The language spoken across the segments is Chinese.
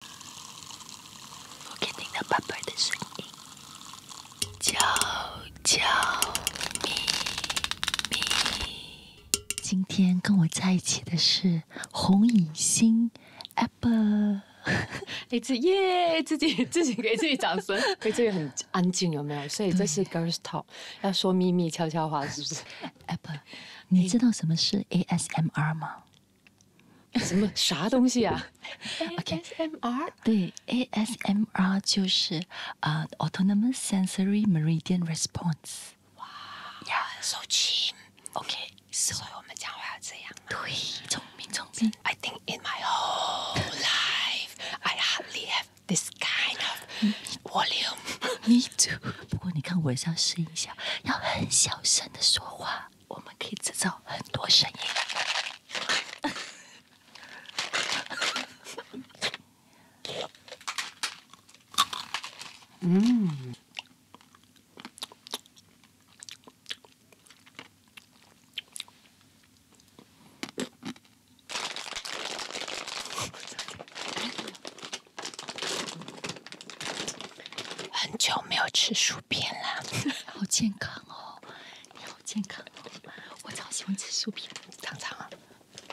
我听到爸爸的声音，悄悄咪咪。今天跟我在一起的是红影星 Apple，哎自己自己给自己掌声，所以这个很安静，有没有？所以这是 Girls Talk，要说秘密悄悄话，是不是？Apple，你知道什么是 ASMR 吗？什么啥东西啊？ASMR 对 ASMR 就是啊，autonomous sensory meridian response。哇，呀，收听。OK，所以我们讲话要这样。对，聪明聪明。I think in my whole life I hardly have this kind of volume。不过你看，我像要适一下，要很小声的说话。我们可以制造很多声音。嗯。很久没有吃薯片了，好健康哦，你好健康哦，我超喜欢吃薯片，尝尝啊。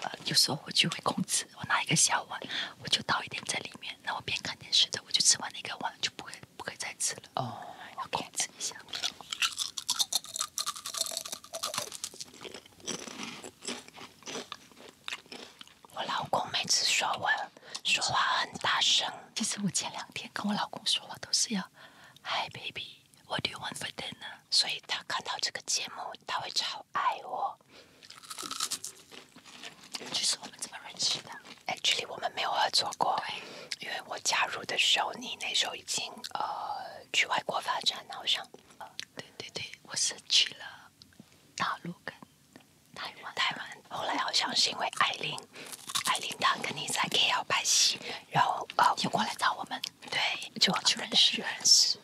呃，有时候我就会控制，我拿一个小碗，我就倒一点在里面，然后边看电视的，我就吃完那个碗，就不会不会再吃了。哦，要控制一下。我老公每次说我说话很大声。其实我前两天跟我老公说话都是要 “Hi baby”，what want do you for dinner？所以他看到这个节目，他会超爱我。其是我们怎么认识的？l l y 我们没有合作过，因为我加入的时候，你那时候已经呃去外国发展了，好像。对对对，我是去了。大陆跟台湾，台湾。后来好像是因为艾琳，艾琳她跟你在 KL 拍戏，然后哦，又过来找我们。对，就去认识。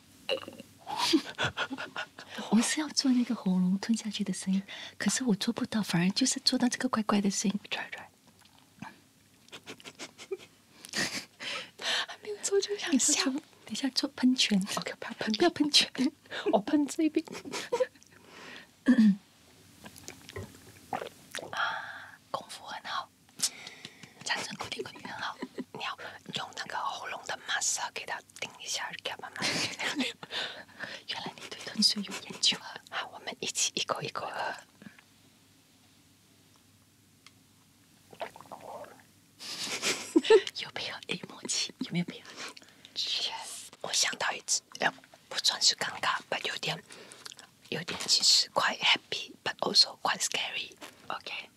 我是要做那个喉咙吞下去的声音，可是我做不到，反而就是做到这个怪怪的声音。还没有做就想笑，等下做喷泉，不要喷泉，我喷这边。啊，功夫很好，长声固定肯定很好。你要用那个喉咙的 muscle 给它顶一下，给它慢慢。原来你对吞水有研究啊！好，我们一起一口一口喝。有没有默契？有没有配合？Yes，我想到一只，呃，不算是尴尬，but 有点，有点其实 quite happy，but also quite scary。Okay，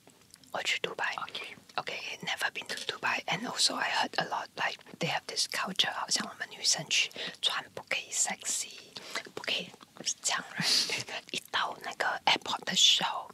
我去 Dubai。Okay。Okay, never been to Dubai, and also I heard a lot like they have this culture，好像我们女生去穿不可以 sexy，不可以这样。一到那个 airport 的时候，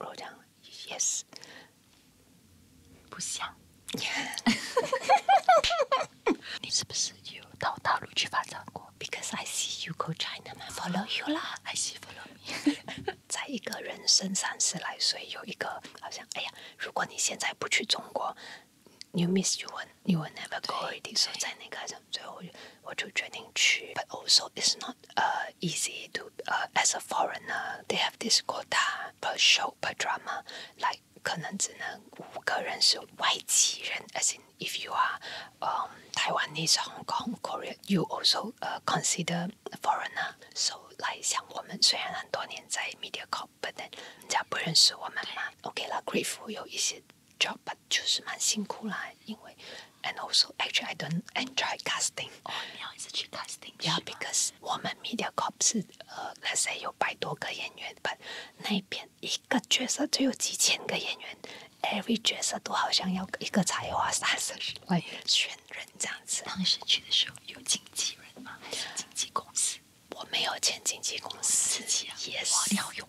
我想，yes，不想。你是不是有到大陆去发展过？Because I see you go China, follow you 啦。I see follow me。在一个人生三十来岁，有一个好像，哎呀，如果你现在不去中国，You miss you e n you will never go。你说在那个，最后。But also, it's not uh, easy to uh, as a foreigner. They have this quota per show per drama, like 可能只能五个人是外籍人，as in if you are um, Taiwanese, Hong Kong, Korea, you also uh, consider foreigner. So like media for Okay, 像我们虽然很多年在 MediaCorp，but then 人家不认识我们嘛。OK 啦，Grateful 有一些 job，but 就是蛮辛苦啦，因为 And also, actually, I don't enjoy casting. Oh, you 哦，a 要一次去 casting？Yeah, because w 们 MediaCorp uh, l e t s say 有百多个演员，但那边一个角色就有几千个演员，every 角色都好像要一个才华三十万选人这样子。当时去的时候有经纪人吗？还是经纪公司？我没有签经纪公司。Yes.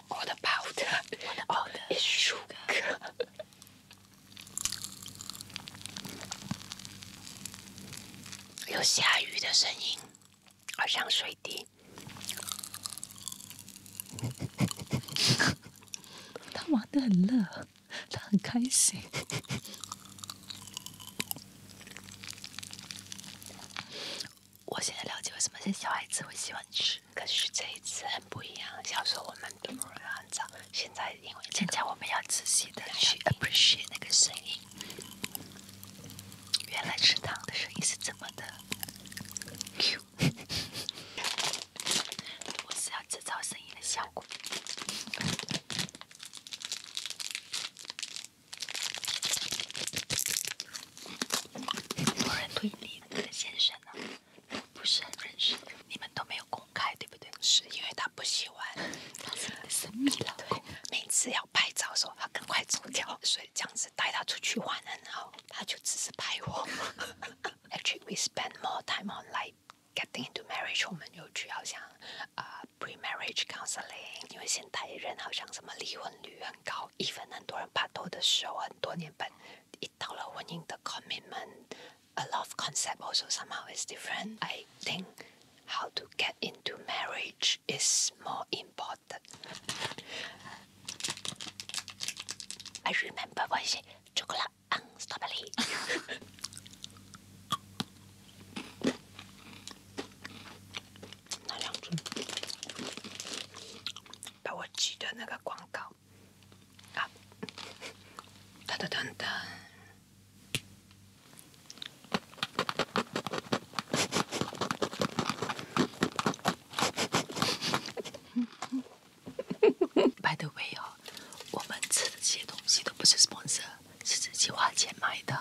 a t about all is sugar。有下雨的声音，好像水滴。他玩的很乐，他很开心。我现在了解为什么是小孩子会喜欢吃，可是这一次很不一样。小时候我们都不会按照，现在因为现在我们要仔细的去 appreciate 那个声音。原来吃糖的声音是这么的？我是要制造声音的效果。有人推理那个先生呢，不是很认识，你们都没有公开，对不对？是因为他不喜欢，他是我神秘老公。每次要拍照，说他赶快走掉，所以这样子带他出去玩然后他就只是拍我。Actually, we spend more time on like getting into marriage. 我们有去好像啊 pre-marriage c o u n s e l i n g 因为现代人好像什么离婚率很高。Even the show but the commitment, a love concept also somehow is different. I think how to get into marriage is more important. I remember when she chocolate and unstoppably. 那两只，把我记得那个广告，啊，y the way，哦，我们吃的这些东西都不是 sponsor，是自己花钱买的。